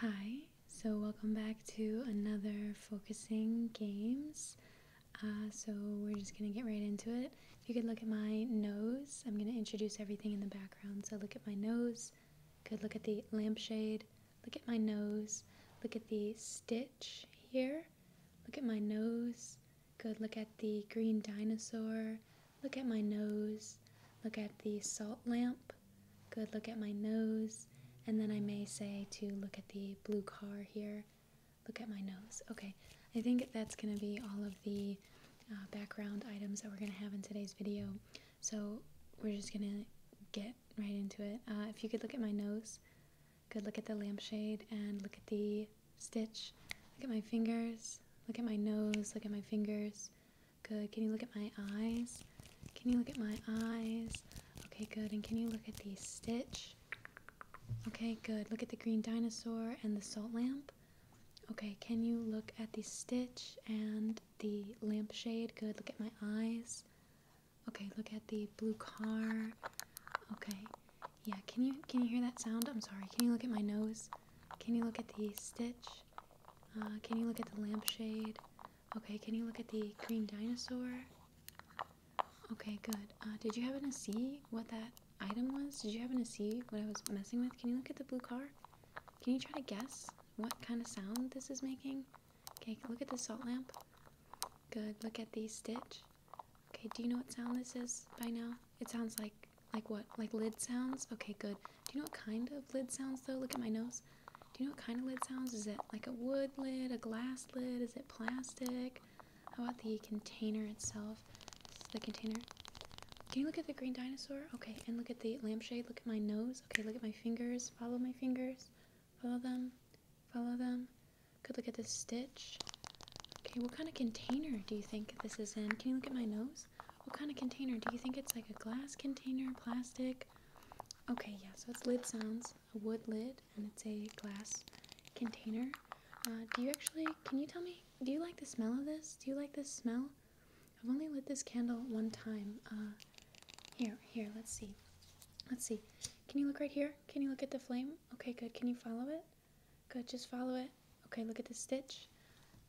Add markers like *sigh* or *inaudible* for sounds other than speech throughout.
Hi, so welcome back to another focusing games. Uh, so we're just gonna get right into it. If you could look at my nose, I'm gonna introduce everything in the background. So look at my nose, could look at the lampshade, look at my nose, look at the stitch here, look at my nose, Good. Look at the green dinosaur. Look at my nose. Look at the salt lamp. Good. Look at my nose. And then I may say to look at the blue car here. Look at my nose. Okay. I think that's going to be all of the uh, background items that we're going to have in today's video. So we're just going to get right into it. Uh, if you could look at my nose, Good look at the lampshade and look at the stitch. Look at my fingers. Look at my nose. Look at my fingers. Good. Can you look at my eyes? Can you look at my eyes? Okay, good. And can you look at the stitch? Okay, good. Look at the green dinosaur and the salt lamp. Okay, can you look at the stitch and the lampshade? Good. Look at my eyes. Okay, look at the blue car. Okay. Yeah, can you can you hear that sound? I'm sorry. Can you look at my nose? Can you look at the stitch? Uh, can you look at the lampshade? Okay, can you look at the green dinosaur? Okay, good. Uh, did you happen to see what that item was? Did you happen to see what I was messing with? Can you look at the blue car? Can you try to guess what kind of sound this is making? Okay, look at the salt lamp. Good, look at the stitch. Okay, do you know what sound this is by now? It sounds like like what? Like lid sounds? Okay, good. Do you know what kind of lid sounds though? Look at my nose. Do you know what kind of lid sounds? Is it like a wood lid, a glass lid? Is it plastic? How about the container itself? the container. Can you look at the green dinosaur? Okay, and look at the lampshade. Look at my nose. Okay, look at my fingers. Follow my fingers. Follow them. Follow them. Good, look at the stitch. Okay, what kind of container do you think this is in? Can you look at my nose? What kind of container? Do you think it's like a glass container, plastic? Okay, yeah, so it's lid sounds, a wood lid, and it's a glass container. Uh, do you actually, can you tell me, do you like the smell of this? Do you like this smell? I've only lit this candle one time. Uh, here, here, let's see. Let's see. Can you look right here? Can you look at the flame? Okay, good. Can you follow it? Good, just follow it. Okay, look at the stitch.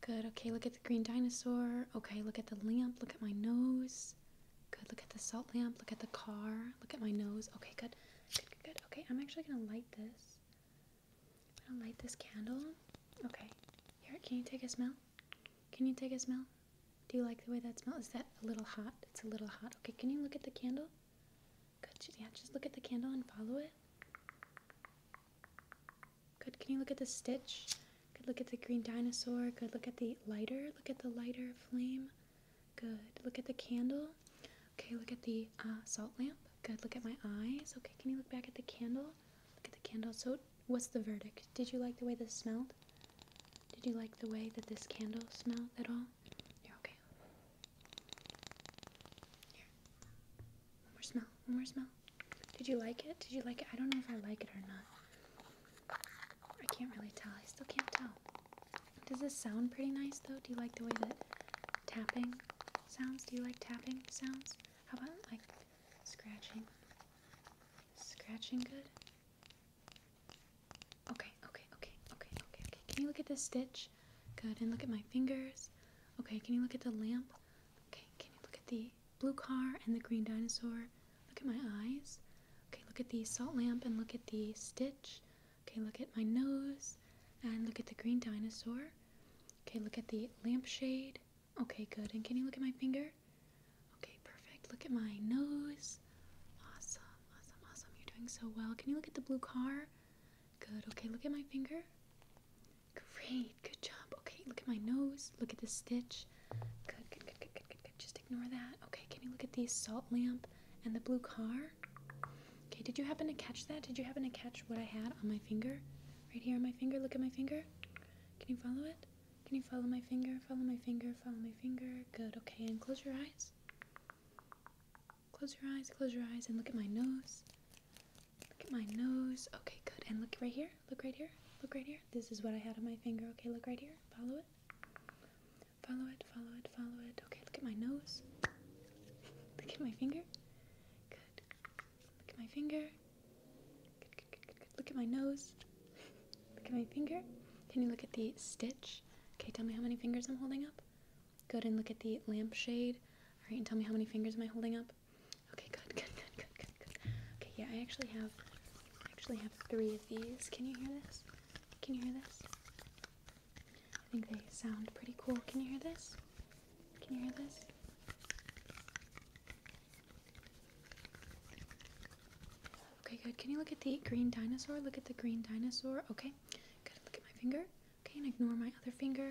Good, okay, look at the green dinosaur. Okay, look at the lamp, look at my nose. Good, look at the salt lamp, look at the car, look at my nose. Okay, good, good, good, Okay, I'm actually gonna light this. I'm gonna light this candle. Okay, here, can you take a smell? Can you take a smell? Do you like the way that smells? Is that a little hot? It's a little hot. Okay, can you look at the candle? Good, yeah, just look at the candle and follow it. Good. Can you look at the stitch? Good. Look at the green dinosaur. Good. Look at the lighter. Look at the lighter flame. Good. Look at the candle. Okay. Look at the uh, salt lamp. Good. Look at my eyes. Okay. Can you look back at the candle? Look at the candle. So, what's the verdict? Did you like the way this smelled? Did you like the way that this candle smelled at all? You're okay. Here. One more smell. One more smell. Did you like it? Did you like it? I don't know if I like it or not. I can't really tell. I still can't tell. Does this sound pretty nice though? Do you like the way that tapping sounds? Do you like tapping sounds? How about like scratching? Is scratching good? Okay, okay, okay, okay, okay, okay. Can you look at this stitch? Good. And look at my fingers. Okay, can you look at the lamp? Okay, can you look at the blue car and the green dinosaur? Look at my eyes. Okay, look at the salt lamp and look at the stitch. Okay, look at my nose and look at the green dinosaur. Okay, look at the lampshade. Okay, good. And can you look at my finger? Okay, perfect. Look at my nose. Awesome, awesome, awesome. You're doing so well. Can you look at the blue car? Good. Okay, look at my finger. Great, good job. Okay, look at my nose. Look at this stitch. Good, good, good, good, good, good, good. Just ignore that. Okay, can you look at the salt lamp and the blue car? Okay, did you happen to catch that? Did you happen to catch what I had on my finger? Right here on my finger? Look at my finger. Can you follow it? Can you follow my finger? Follow my finger, follow my finger. Good, okay, and close your eyes. Close your eyes, close your eyes, and look at my nose. Look at my nose. Okay, good. And look right here. Look right here. Look right here. This is what I had on my finger. Okay, look right here. Follow it. Follow it, follow it, follow it. Okay, look at my nose. *laughs* Look at my finger. Good. Look at my finger. Good, good, good, good, Look at my nose. *laughs* look at my finger. Can you look at the stitch? Okay, tell me how many fingers I'm holding up. Good, and look at the lampshade. All right, and tell me how many fingers am I holding up? Okay, good, good, good, good, good, good. Okay, yeah, I actually have, I actually have three of these. Can you hear this? Can you hear this? I think they sound pretty cool. Can you hear this? Can you hear this? Okay, good. Can you look at the green dinosaur? Look at the green dinosaur. Okay, good. Look at my finger. Okay, and ignore my other finger.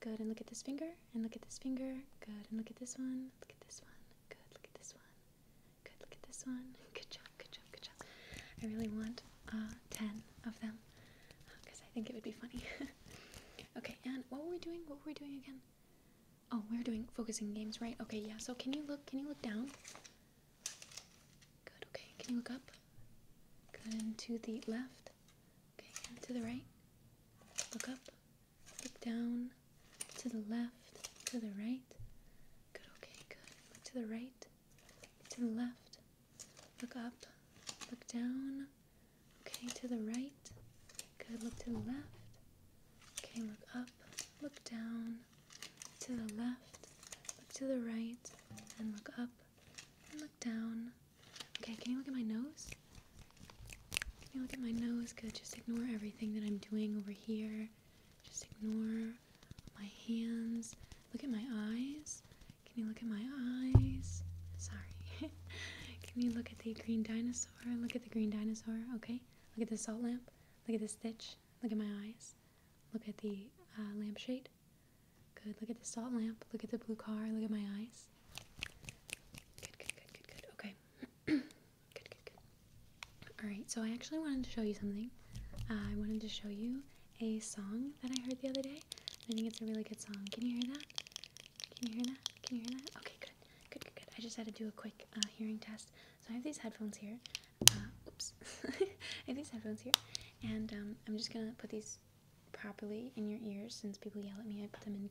Good, and look at this finger, and look at this finger. Good, and look at this one. Look at this one. Good, look at this one. Good, look at this one. *laughs* Good job, good job, good job. I really want uh, 10 of them because uh, I think it would be funny. *laughs* okay, and what were we doing? What were we doing again? Oh, we are doing focusing games, right? Okay, yeah. So can you look? Can you look down? Good. Okay. Can you look up? Good. And to the left. Okay. And to the right. Look up. Look down, to the left, to the right. Good, okay, good. Look to the right, to the left. Look up, look down. Okay, to the right. Good, look to the left. Okay, look up, look down, to the left, look to the right, and look up, and look down, Okay, can you look at my nose? Can you look at my nose? Good. Just ignore everything that I'm doing over here. Just ignore my hands. Look at my eyes. Can you look at my eyes? Sorry. *laughs* can you look at the green dinosaur? Look at the green dinosaur, okay? Look at the salt lamp. Look at the stitch. Look at my eyes. Look at the uh, lampshade. Good. Look at the salt lamp. Look at the blue car. Look at my eyes. Good, good, good, good, good. Okay good, good, good. Alright, so I actually wanted to show you something. Uh, I wanted to show you a song that I heard the other day. I think it's a really good song. Can you hear that? Can you hear that? Can you hear that? Okay, good. Good, good, good. I just had to do a quick uh, hearing test. So I have these headphones here. Uh, oops. *laughs* I have these headphones here. And um, I'm just going to put these properly in your ears since people yell at me. I put them in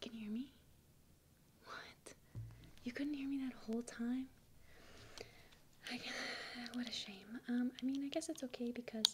Can you hear me? What? You couldn't hear me that whole time? *sighs* what a shame. Um, I mean, I guess it's okay because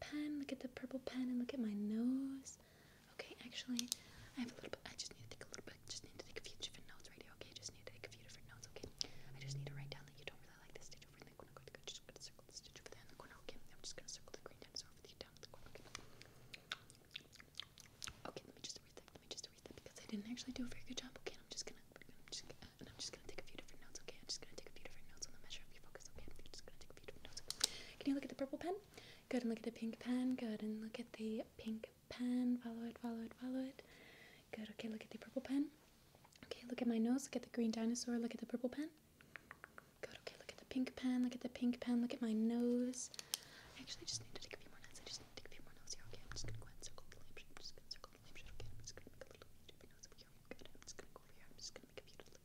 pen. Look at the purple pen and look at my nose. Okay, actually, I have a little bit. I just need to take a little bit. Just need to take a few different notes right here. Okay, just need to take a few different notes. Okay, I just need to write down that you don't really like this stitch over in the corner. i just gonna circle the stitch over there in the corner. Okay, I'm just gonna circle the green dinosaur over the down in Okay. Okay, let me just read that. Let me just read that because I didn't actually do a very good job. Okay, I'm just gonna. I'm just, going to. I'm just gonna take a few different notes. Okay, I'm just gonna take a few different notes on the measure of your focus. Okay, I'm just gonna take will be diagnosed. Can you look at the purple pen? Good, and look at the pink pen. Good, and look at the pink pen. Follow it, follow it, follow it. Good, okay, look at the purple pen. Okay, look at my nose. Look at the green dinosaur. Look at the purple pen. Good, okay, look at the pink pen. Look at the pink pen. Look at my nose. I actually just need to take a few more notes. I just need to take a few more notes here. Okay, I'm just going to go ahead and circle the lamp shape. I'm just going to circle the lamp shape. Okay, I'm just going to make a little bit of a nose over here. Good, I'm just going to go over here. I'm just going to make a few little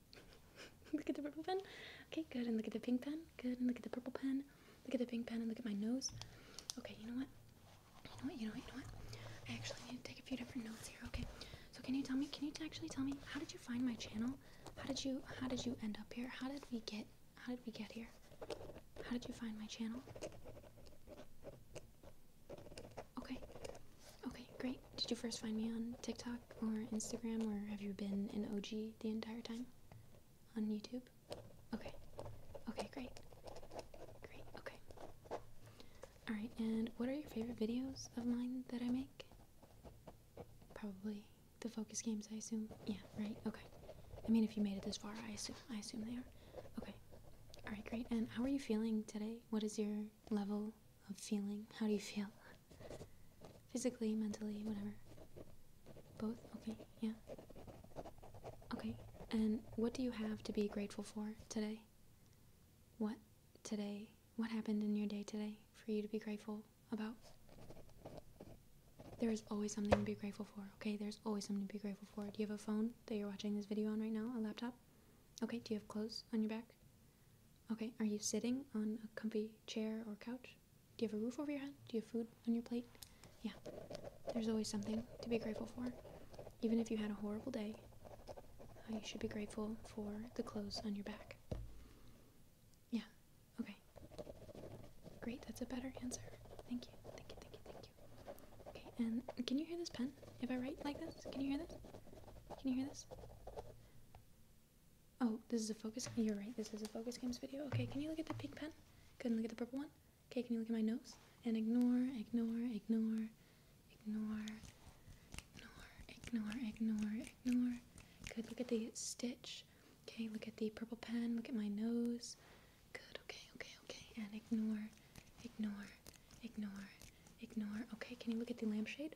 look at the purple pen. Okay, good. And look at the pink pen. Good. And look at the purple pen. Look at the pink pen and look at my nose. Okay, you know what? You know what? You know what? You know what? I actually need to take a few different notes here. Okay. So can you tell me? Can you actually tell me how did you find my channel? How did you? How did you end up here? How did we get? How did we get here? How did you find my channel? Okay. Okay, great. Did you first find me on TikTok? or Instagram, or have you been an OG the entire time? On YouTube? Okay. Okay, great. Great, okay. Alright, and what are your favorite videos of mine that I make? Probably the focus games, I assume. Yeah, right? Okay. I mean, if you made it this far, I assume, I assume they are. Okay. Alright, great. And how are you feeling today? What is your level of feeling? How do you feel? Physically, mentally, whatever. Both? Okay, yeah. Okay, and what do you have to be grateful for today? What today? What happened in your day today for you to be grateful about? There is always something to be grateful for, okay? There's always something to be grateful for. Do you have a phone that you're watching this video on right now? A laptop? Okay, do you have clothes on your back? Okay, are you sitting on a comfy chair or couch? Do you have a roof over your head? Do you have food on your plate? Yeah, there's always something to be grateful for. Even if you had a horrible day, uh, you should be grateful for the clothes on your back. Yeah, okay. Great, that's a better answer. Thank you, thank you, thank you, thank you. Okay, and can you hear this pen? If I write like this, can you hear this? Can you hear this? Oh, this is a focus. You're right. This is a focus games video. Okay, can you look at the pink pen? Good. Look at the purple one. Okay, can you look at my nose? And ignore, ignore, ignore, ignore, ignore, ignore, ignore, ignore. Good. Look at the stitch. Okay, look at the purple pen. Look at my nose. Good. Okay, okay, okay. And ignore, ignore, ignore, ignore. Okay, can you look at the lampshade?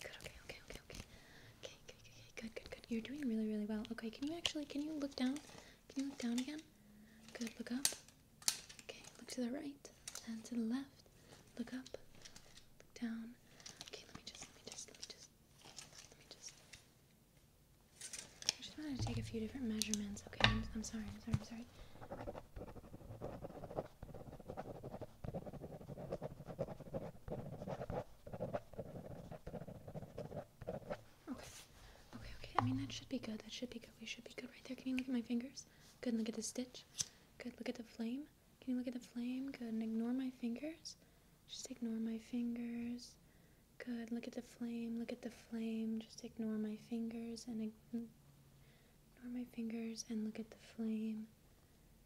Good, okay, okay, okay, okay. Okay, okay, good, good, good. You're doing really, really well. Okay, can you actually, can you look down? Can you look down again? Good, look up. Okay, look to the right and to the left. Look up, look down. Okay, let me just, let me just, let me just, let me just. I just wanted to take a few different measurements. Okay, I'm sorry, I'm sorry, I'm sorry. Okay. Okay, okay. I mean, that should be good. That should be good. We should be good right there. Can you look at my fingers? Good. look at the stitch. Good. Look at the flame. Can you look at the flame? Good. ignore my fingers. Just ignore my fingers. Good. Look at the flame. Look at the flame. Just ignore my fingers and ignore my fingers and look at the flame.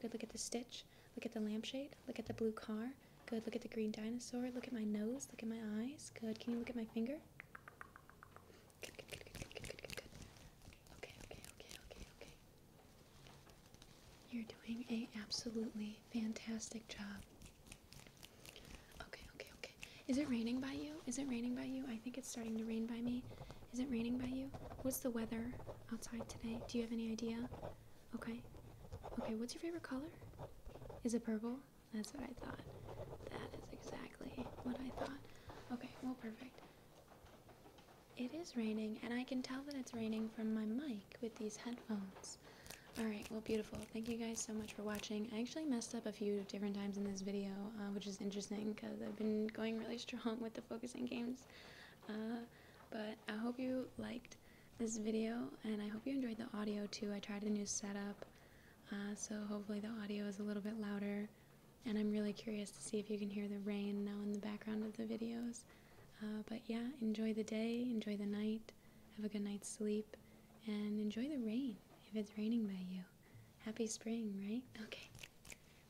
Good, look at the stitch. Look at the lampshade. Look at the blue car. Good, look at the green dinosaur. Look at my nose. Look at my eyes. Good, can you look at my finger? Good, good, good, good, good, good, good, good. Okay, okay, okay, okay, okay. You're doing an absolutely fantastic job. Okay, okay, okay. Is it raining by you? Is it raining by you? I think it's starting to rain by me. Is it raining by you? What's the weather outside today? Do you have any idea? Okay. Okay, what's your favorite color? Is it purple? That's what I thought. That is exactly what I thought. Okay, well, perfect. It is raining, and I can tell that it's raining from my mic with these headphones. Alright, well, beautiful. Thank you guys so much for watching. I actually messed up a few different times in this video, uh, which is interesting because I've been going really *laughs* strong with the focusing games. Uh, but I hope you liked this video, and I hope you enjoyed the audio too. I tried a new setup, uh, so hopefully the audio is a little bit louder. And I'm really curious to see if you can hear the rain now in the background of the videos. Uh, but yeah, enjoy the day, enjoy the night, have a good night's sleep, and enjoy the rain if it's raining by you. Happy spring, right? Okay.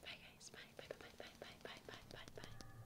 Bye, guys. Bye, bye, bye, bye, bye, bye, bye, bye, bye.